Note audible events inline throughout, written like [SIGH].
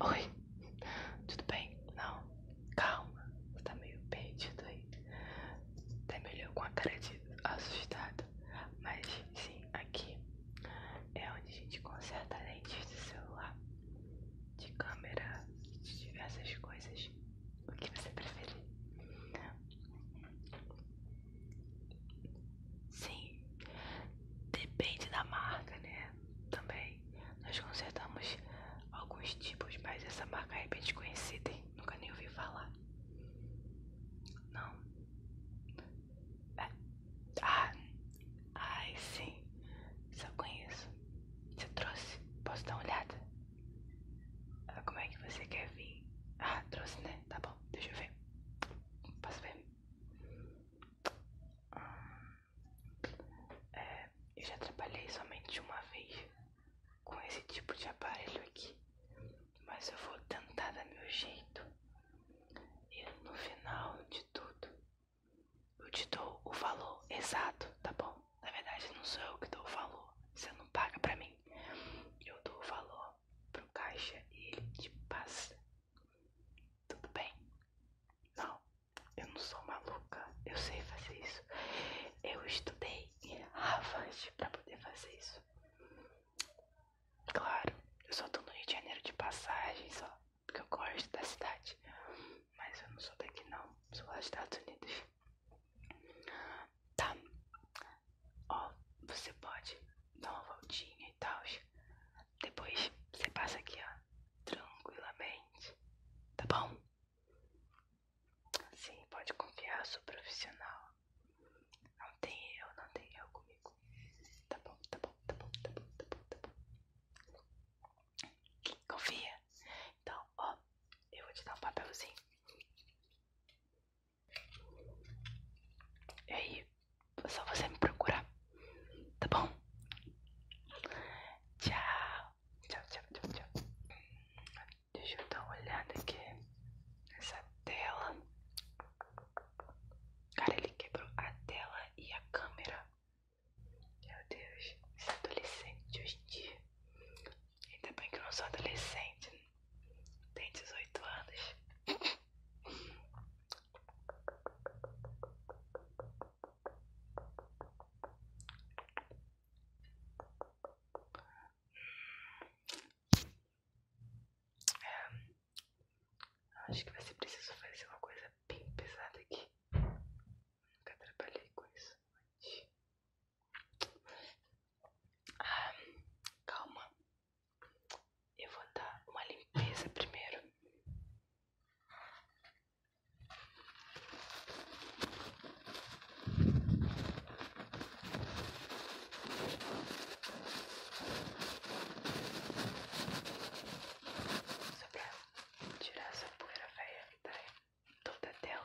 Oi, tudo bem? Não, calma, você tá meio perdido aí. Até melhor com a cara de assustado. Mas sim, aqui é onde a gente conserta lentes de celular, de câmera, de diversas coisas. O que você preferir? Sim, depende da marca, né? também nós consertamos alguns tipos, mas essa marca é bem desconhecida, nunca nem ouvi falar. Não. É. Ah, ai sim, só conheço. Você trouxe? Posso dar uma olhada? Ah, como é que você quer vir? Ah, trouxe, né? Tá bom, deixa eu ver. Posso ver? É, eu já trabalhei somente uma vez com esse tipo de aparelho aqui, mas eu vou tentar dar meu jeito e no final de tudo eu te dou o valor exato, tá bom? Na verdade, não sou eu que dou o valor, você não paga pra mim. Eu dou o valor pro caixa e ele te passa tudo bem? Não, eu não sou maluca, eu sei fazer isso. Eu estudei Harvard pra poder fazer isso. Claro, eu só tô no Rio de Janeiro de passagem só, porque eu gosto da cidade. Mas eu não sou daqui não, sou lá dos Estados Unidos. Tá, ó, você pode dar uma voltinha e tal, depois você passa aqui, ó, tranquilamente, tá bom? Sim, pode confiar, sou profissional. Não tem eu, não tem eu comigo. Tá bom, tá bom, tá bom, tá bom, tá bom, tá bom. Confia? Então, ó, eu vou te dar um papelzinho. E aí, é só você me procurar. Tá bom? Tchau. Tchau, tchau, tchau, tchau. Deixa eu dar uma olhada aqui nessa tela. Cara, ele quebrou a tela e a câmera. Meu Deus, esse adolescente de hoje em dia. Ainda bem que eu não sou adolescente. Tem 18 anos. É. acho que vai ser preciso fazer uma coisa bem pesada aqui. nunca trabalhei com isso antes. Ah, calma, eu vou dar uma limpeza primeiro. Só pra tirar essa poeira velha que tá toda tela.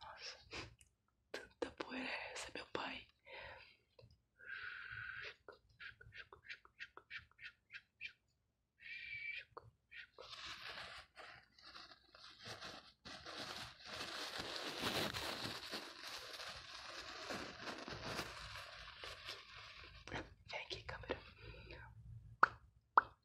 Nossa, tanta poeira é essa, meu pai. Vem aqui, câmera.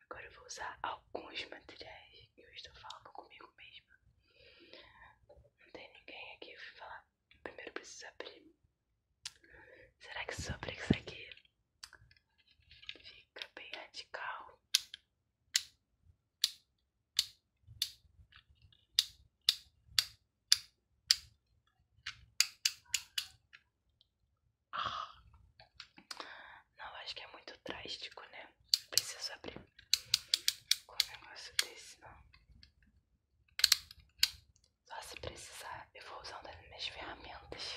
Agora eu vou usar alguns materiais. Eu estou falando comigo mesma. Não tem ninguém aqui. Eu fui falar. Primeiro preciso abrir. Será que se eu isso aqui fica bem radical? Não, acho que é muito drástico, né? Preciso abrir com um negócio desse, não. Só se precisar, eu vou usando as minhas ferramentas.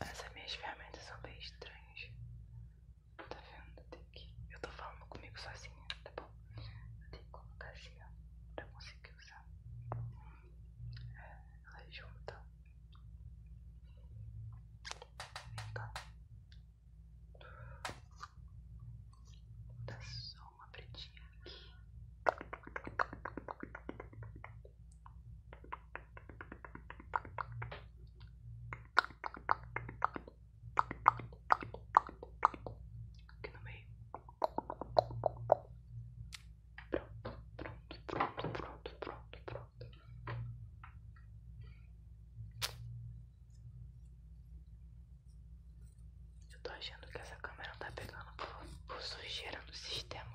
Essas minhas ferramentas são bem estranhas. Tá vendo? Eu tô falando comigo sozinha, tá bom? Eu tenho que colocar assim, ó, pra conseguir usar. É, ela é junta. Vem cá. Tá só uma pretinha aqui. Aqui no meio. Pronto, pronto, pronto, pronto, pronto, pronto. Eu tô achando que essa câmera tá pegando por, sujeira no sistema.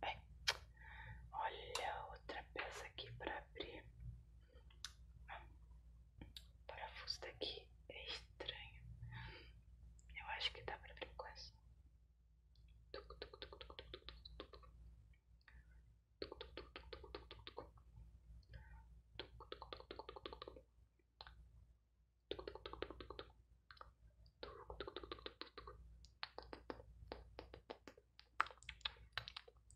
É. olha outra peça aqui para abrir. o parafuso daqui é estranho. Eu acho que dá para abrir com essa.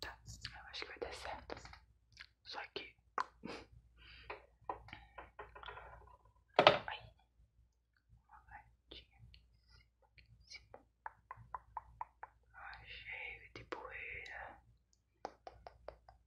Tá, eu acho que vai dar certo. Só que. Aí. Uma latinha aqui em cima. Achei de poeira.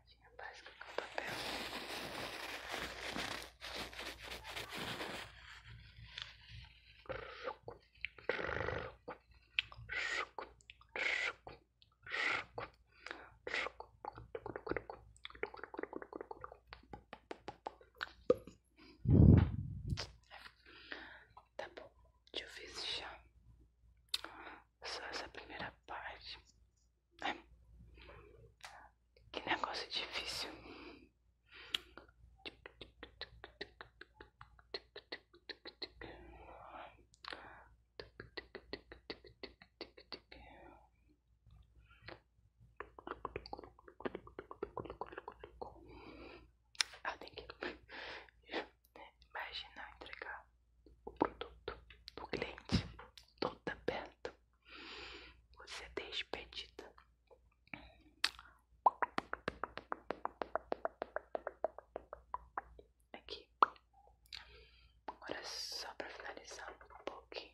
folhadinha básica com papel. Tá bom, deixa eu ver se já só essa primeira parte. Que negócio difícil. Ah, tem que [LAUGHS] imaginar entregar o produto do cliente toda então, tá perto. Você é despedida. Aqui. Agora é só para finalizar um pouquinho.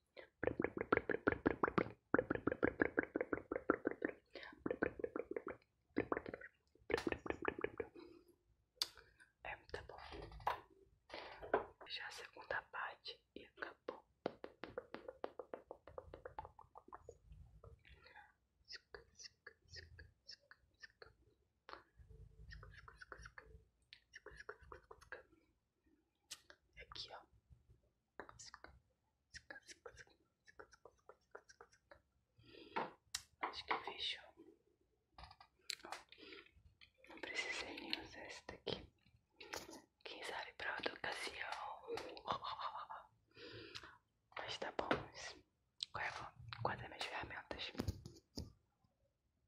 É muito tá bom. Já a segunda parte e acabou. Aqui, ó. Acho que fechou. Não precisei nem usar esse daqui. Quem sabe pra outra ocasião. Mas tá bom. Guarda é minhas ferramentas.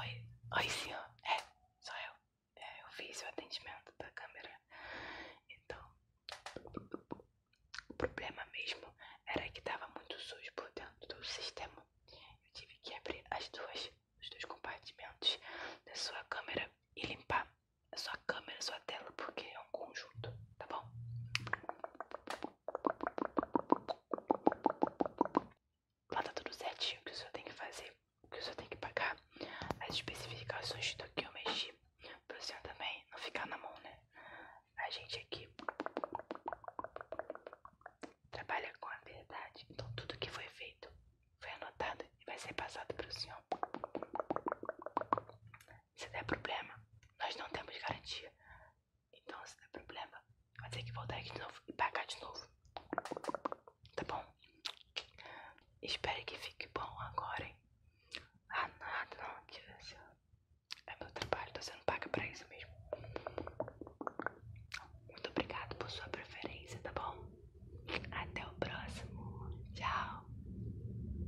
Oi, oi senhor, é, só eu, é, eu fiz o atendimento da câmera, então o problema mesmo era que tava muito sujo por dentro do sistema, eu tive que abrir as duas, os dois compartimentos da sua câmera e limpar a sua câmera, a sua tela, porque é um conjunto, tá bom? Lá tá tudo certinho o que o senhor tem que fazer, o que o senhor tem que pagar. As especificações do que eu mexi pro senhor também não ficar na mão, né? A gente aqui trabalha com a verdade. Então tudo que foi feito foi anotado e vai ser passado pro senhor. Se der problema, nós não temos garantia. Então, se der problema, vai ter que voltar aqui de novo e pagar de novo. Tá bom? Espero que fique bom agora, hein? Ah, nada, não. Aqui, assim, é meu trabalho, você não paga pra isso mesmo. Muito obrigado por sua preferência, tá bom? Até o próximo. Tchau.